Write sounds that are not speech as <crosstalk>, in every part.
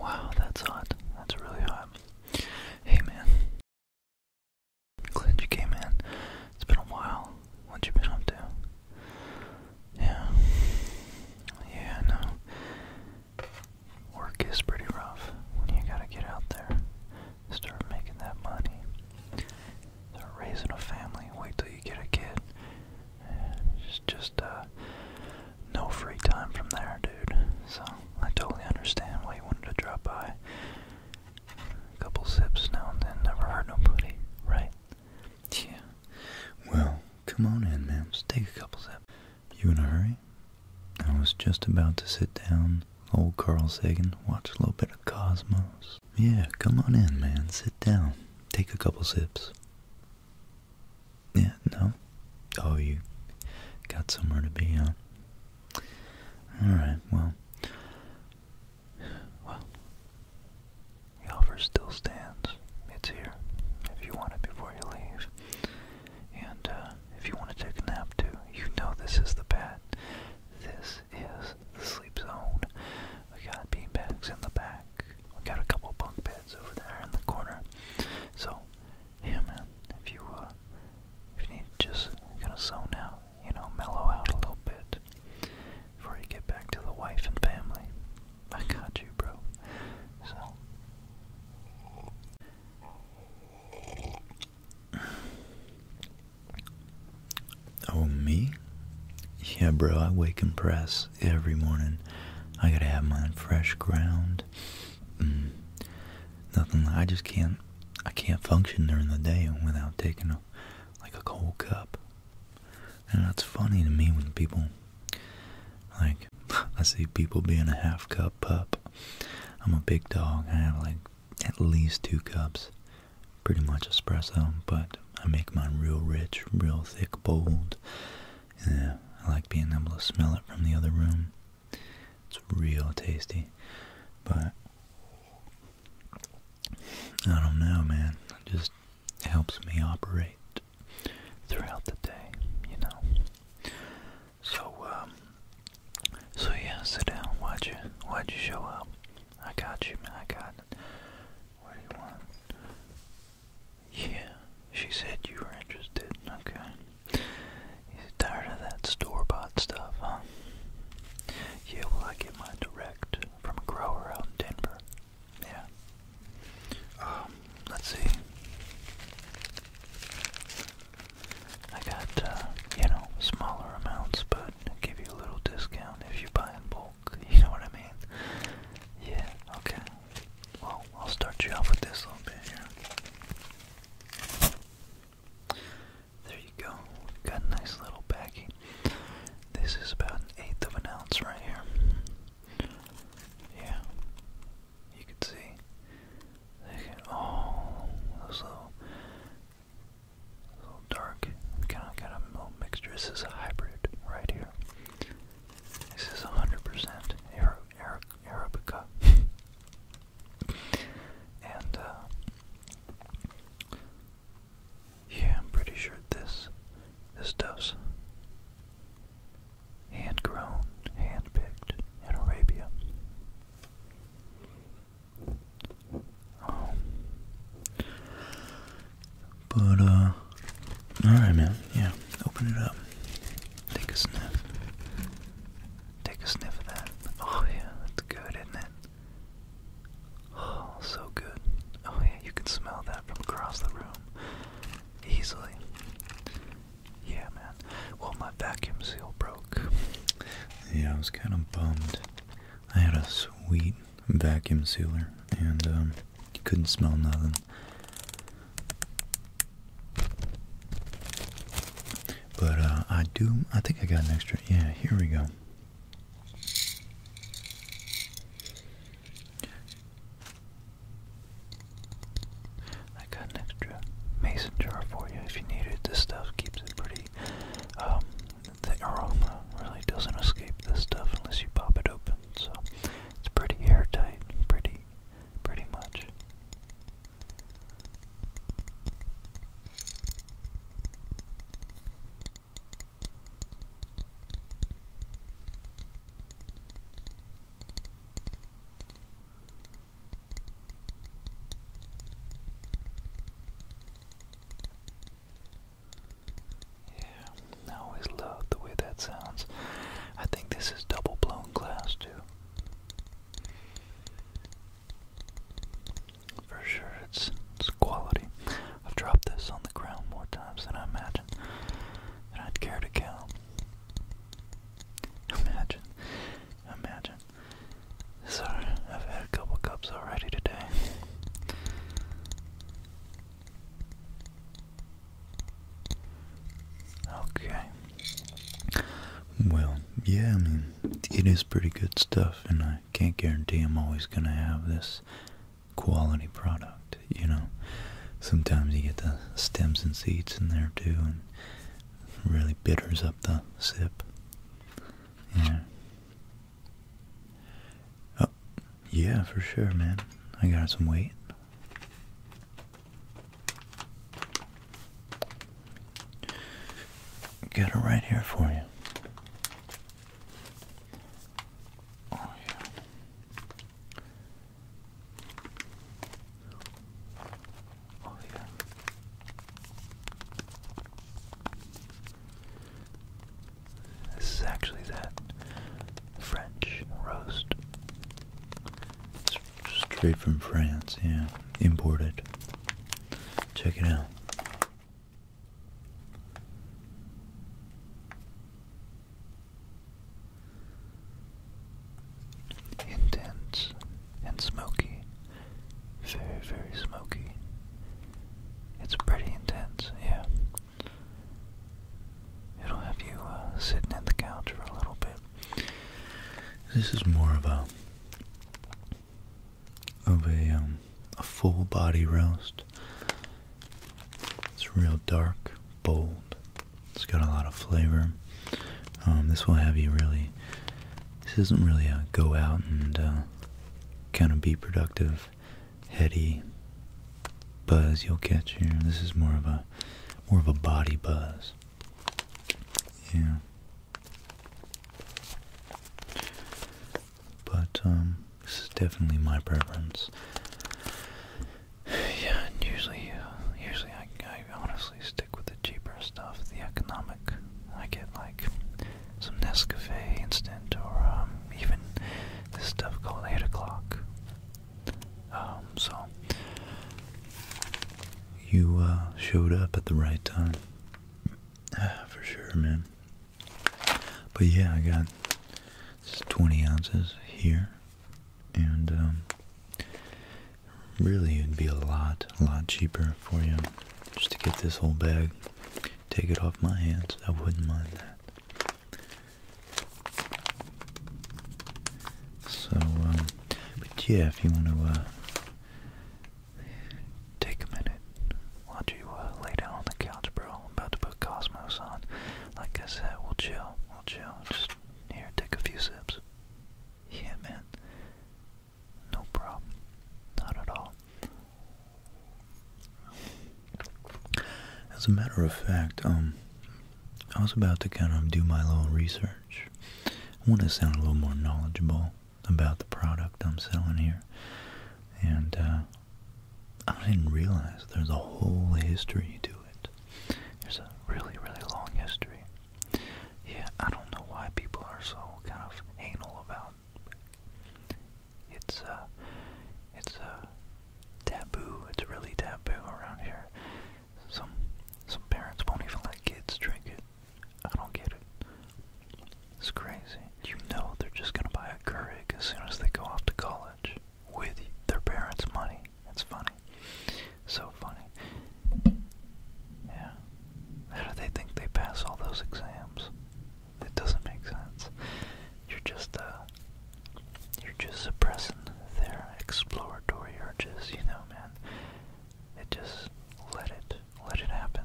Wow, that's hot. That's really hot. Hey man, Glad you came in. It's been a while. What you been up to? Yeah. Yeah, I know. Work is pretty rough when you gotta get out there. Start making that money. Start raising a family. Wait till you get a kid. it's just uh no free time from there, dude. So I totally understand why you wanted to drop by. A couple sips now and then never hurt nobody, right? Yeah. Well, come on in, Mims. Take a couple sips. You in a hurry? I was just about to sit down, old Carl Sagan, watch a little bit of Cosmos. Yeah, come on in, man. Sit down. Take a couple sips. Yeah, no? Oh, you got somewhere to be, huh? Alright, well. Well. The offer still stands. It's here. If you want it before you leave. And uh, if you want to take a nap too, you know this is the bed. This is the sleep zone. We got beanbags in the back. We got a couple bunk beds over there in the corner. So, yeah man, if you uh if you need just kind of zone out, you know, mellow out a little bit before you get back to the wife and family. I got you, bro. So. Oh, me? Yeah, bro, I wake and press every morning. I gotta have my fresh ground. Mm nothing. I just can't. I can't function during the day without taking a like a cold cup. And that's funny to me when people like <laughs> I see people being a half cup pup. I'm a big dog. I have like at least two cups, pretty much espresso. But I make mine real rich, real thick, bold. Yeah, I like being able to smell it from the other room. It's real tasty, but I don't know, man. It just helps me operate throughout the day, you know. So, um, so yeah, sit down. Why'd you, why'd you show up? I got you, man. I got. It. What do you want? Yeah, she said you were interested. Okay. You tired of that store-bought stuff, huh? Yeah, well, I get mine direct from a grower out in Denver. Yeah. Um, let's see. I got, uh, you know, smaller amounts, but give you a little discount if you buy in bulk. <laughs> You know what I mean? Yeah, okay. Well, I'll start you off with this little bit here. There you go. Got a nice little baggie. This is about an eighth of an ounce right here. Yeah. You can see. oh, those little, little dark. Kind of got a mixture. This is a hybrid right here. This is 100% Arabica. <laughs> And, uh, yeah, I'm pretty sure this, this dose, hand-grown, hand-picked in Arabia. Um, but, uh, alright, man, yeah, open it up. Take a sniff. Take a sniff of that. Oh, yeah, that's good, isn't it? Oh, so good. Oh, yeah, you can smell that from across the room. Easily. Yeah, man. Well, my vacuum seal broke. Yeah, I was kind of bummed. I had a sweet vacuum sealer, and, um, you couldn't smell nothing. But uh, I do, I think I got an extra, yeah, here we go. I got an extra mason jar for you if you need it. This stuff keeps it pretty, um, the aroma really doesn't escape this stuff unless you pop it open. So it's pretty airtight, pretty, pretty much. Yeah, I always love the way that sounds. I think this is double blown glass, too. For sure, it's it's quality. I've dropped this on the ground more times than I imagine, and I'd care to count. Imagine, imagine. So I've had a couple cups already today. Okay. Well, yeah, I mean, it is pretty good stuff, and I can't guarantee I'm always going to have this quality product, you know. Sometimes you get the stems and seeds in there too, and really bitters up the sip. Yeah. Oh, yeah, for sure, man. I got some weight. Get it right here for you. Oh, yeah. Oh, yeah. This is actually that French roast. It's straight from France, yeah. Imported. Check it out. Intense and smoky. Very, very smoky. It's pretty intense, yeah. It'll have you uh, sitting in the couch for a little bit. This is more of a of a um, a full body roast. It's real dark, bold. It's got a lot of flavor. Um, this will have you really. This isn't really a go out and uh, kind of be productive, heady buzz you'll catch here. This is more of a more of a body buzz. Yeah, but um, this is definitely my preference. <sighs> Yeah, and usually, uh, usually I, I honestly stick with the cheaper stuff, the economic. I get like some Nescafe instant, or um, even this stuff called Eight O'clock. Um, so you uh, showed up at the right time. <sighs> for sure, man. But yeah, I got 20 ounces here, and um, really it'd be a lot, a lot cheaper for you just to get this whole bag, take it off my hands. I wouldn't mind that. So, um, but yeah, if you want to uh, Take a minute. Why don't you uh, lay down on the couch, bro? I'm about to put Cosmos on. Like I said, we'll chill. We'll chill. Just here, take a few sips. Yeah, man. No problem. Not at all. As a matter of fact, um, I was about to kind of do my little research. I want to sound a little more knowledgeable about the product I'm selling here. And uh, I didn't realize there's a whole history to it. There's a really, really long history. Yeah, I don't know why people are so kind of anal about it's uh it's uh taboo. It's really taboo around here. Some some parents won't even let kids drink it. I don't get it. It's crazy. You know they're just gonna buy a Keurig as soon as they go off to college with their parents' money. It's funny. So funny. Yeah. How do they think they pass all those exams? It doesn't make sense. You're just, uh, you're just suppressing their exploratory urges, you know, man. It just let it let it happen.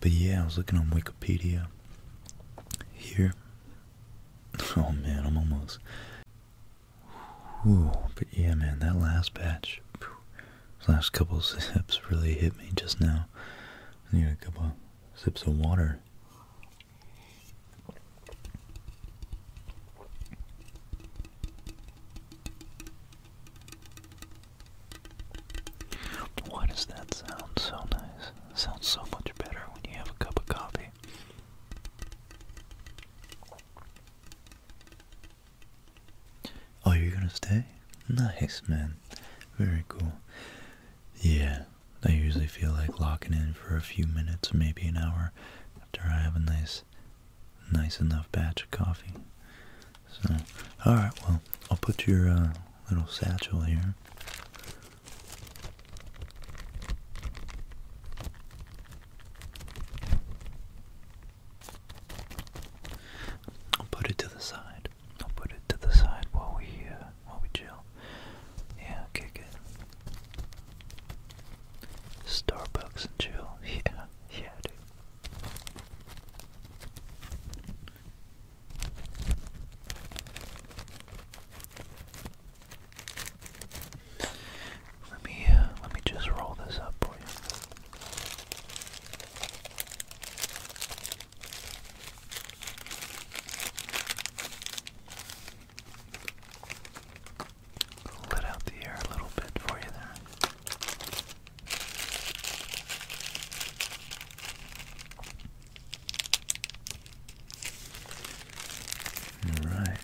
But yeah, I was looking on Wikipedia here. <laughs> Oh man, I'm almost. Ooh, but yeah, man, that last batch, last couple sips really hit me just now. I need a couple sips of water. Why does that sound so nice? sounds so much better when you have a cup of coffee. Oh, you're gonna stay? Nice, man. Very cool. Yeah, I usually feel like locking in for a few minutes, maybe an hour, after I have a nice nice, enough batch of coffee. So, all right, well, I'll put your uh, little satchel here. I'll put it to the side. I'll put it to the side while we uh, while we chill. Yeah, kick it. Starbucks and chill. <laughs> Yeah, yeah, dude. Let me uh, let me just roll this up for you. Let out the air a little bit for you there. Alright.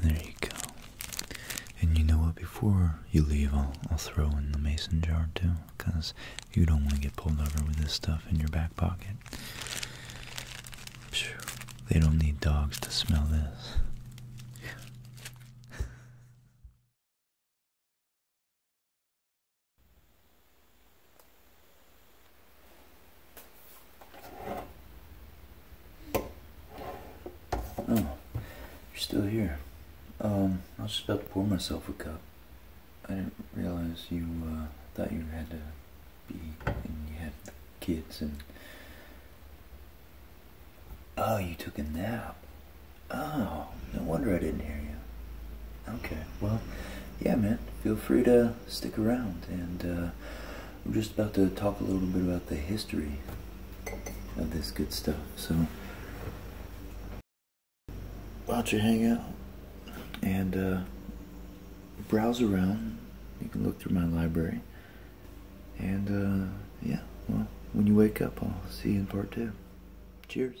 There you go. And you know what? Before you leave, I'll, I'll throw in the mason jar too, because you don't want to get pulled over with this stuff in your back pocket. They don't need dogs to smell this. Oh, you're still here. Um, I was about to pour myself a cup. I didn't realize you, uh, thought you had to and you have the kids and oh you took a nap oh no wonder i didn't hear you okay well yeah man feel free to stick around and uh, i'm just about to talk a little bit about the history of this good stuff so why don't you hang out and uh, browse around you can look through my library and uh, yeah, well, when you wake up, I'll see you in part two. Cheers.